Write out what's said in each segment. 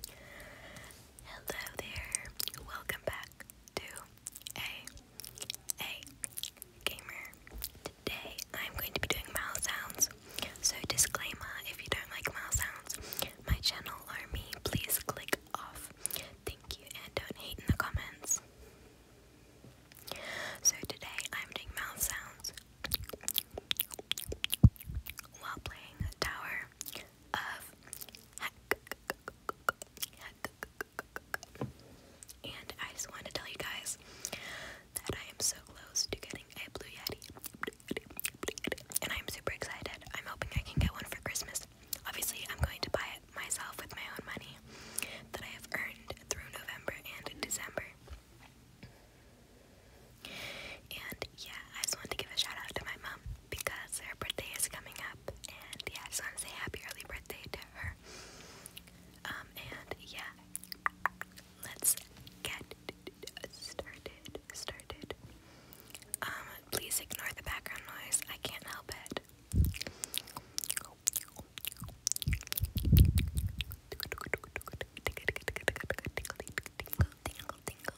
Hello there, welcome back to a a gamer. Today I'm going to be doing mouth sounds. So disclaimer, if you don't like mouth sounds, my channel or me, please click off. Thank you and don't hate in the comments. So today I'm doing mouth sounds while playing Tower and I just wanted to tell you guys that I am so close to getting a Blue Yeti, and I'm super excited. I'm hoping I can get one for Christmas. Obviously, I'm going to buy it myself with my own money that I have earned through November and December. And yeah, I just wanted to give a shout out to my mom because her birthday is coming up, and yeah, I just want to say happy early birthday to her. Um, and yeah, let's get started. Started. Um, please ignore the background noise. I can't help it. Tingle, tingle, tingle, tingle, tingle, tingle, tingle, tingle, tingle, tingle, tingle, tingle, Tingles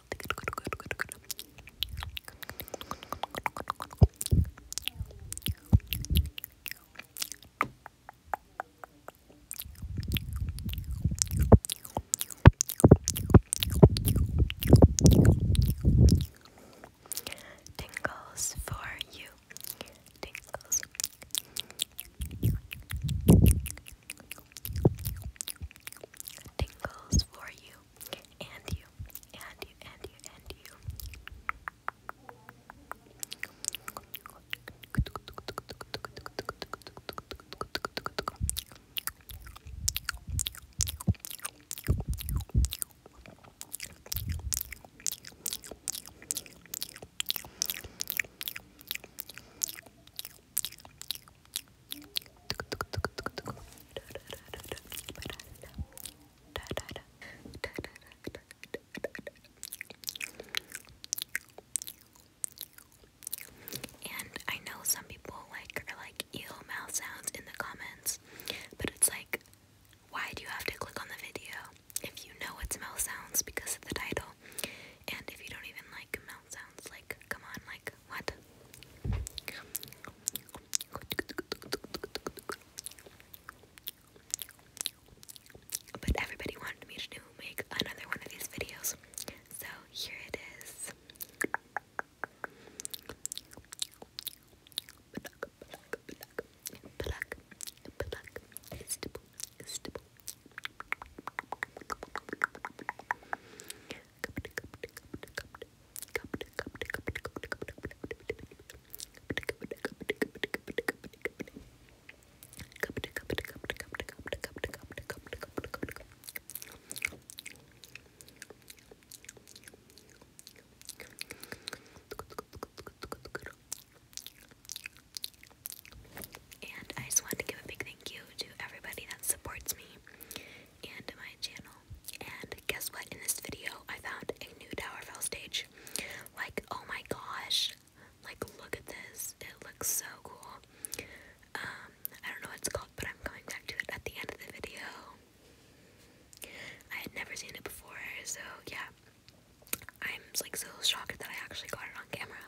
for you tingles for you and you and you and you and you. And I know some people like are like ew mouth sounds in the comments, but it's like why do you have to click on the video if you know it's mouth sounds because of the title? And if you don't even like mouth sounds like. Come on, like, what? But everybody wanted me to make another one of these videos. So here it is. And I just wanted to give a big thank you to everybody that supports me and my channel. And guess what? In this video, I found a new Tower Fall stage. Like, oh my gosh. Like, look at this. It looks so cool. Um, I don't know what's called, but I'm going back to it at the end of the video. I had never seen it before, so yeah. I'm like so shocked that I actually got it on camera.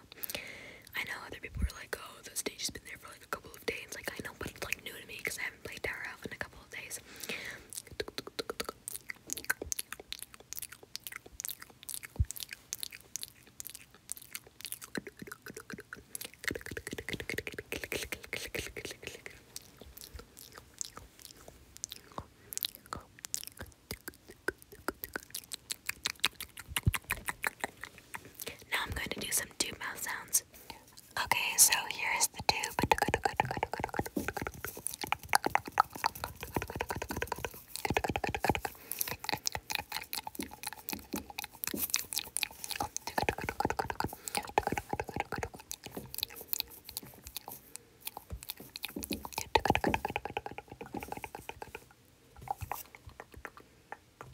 I know other people were like, oh, the stage's been there for a couple of days. Like I know, but it's like new to me because I haven't played Tower in a couple of days. Now I'm going to do some tube mouth sounds. Okay, so here is the tube.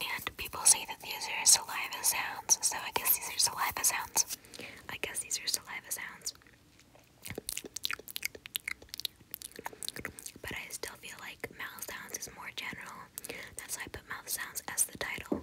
And people say that these are saliva sounds, so I guess these are saliva sounds. I guess these are saliva sounds. But I still feel like mouth sounds is more general. That's why I put mouth sounds as the title.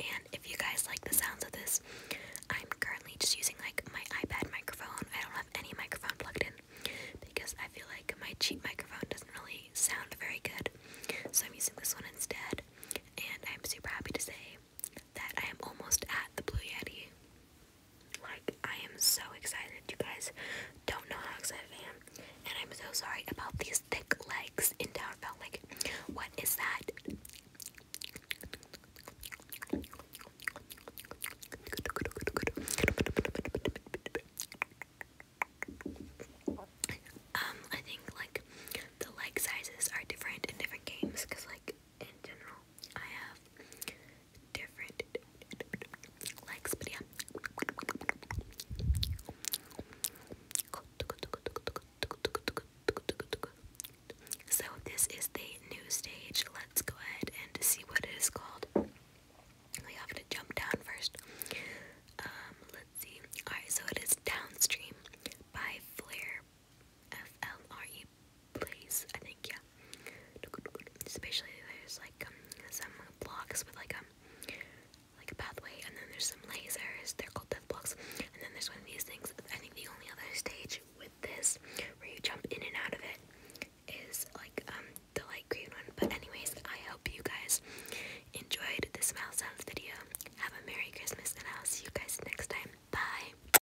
and if you guys like the sounds of this, I'm currently just using like my iPad microphone. I don't have any microphone plugged in because I feel like my cheap microphone doesn't really sound very good. So I'm using this one instead. And I'm super happy to say that I am almost at the Blue Yeti. Like, I am so excited. You guys don't know how excited I am. And I'm so sorry about these thick legs in Downfell. Like, what is that? Um, I think like the leg sizes are different in different games because like in general. I have different likes, but yeah. So this is the new stage. Let's go ahead and see what it is called. We have to jump down first. Um, let's see. Alright, so it is Downstream by Flair FLRE place, I think, yeah. Especially there's like um, some blocks with like um like a pathway, and then there's some lasers. They're called death blocks, and then there's one of these things. I think the only other stage with this where you jump in and out of it is like um the light green one. But anyways, I hope you guys enjoyed this mouse sounds video. Have a merry Christmas, and I'll see you guys next time. Bye.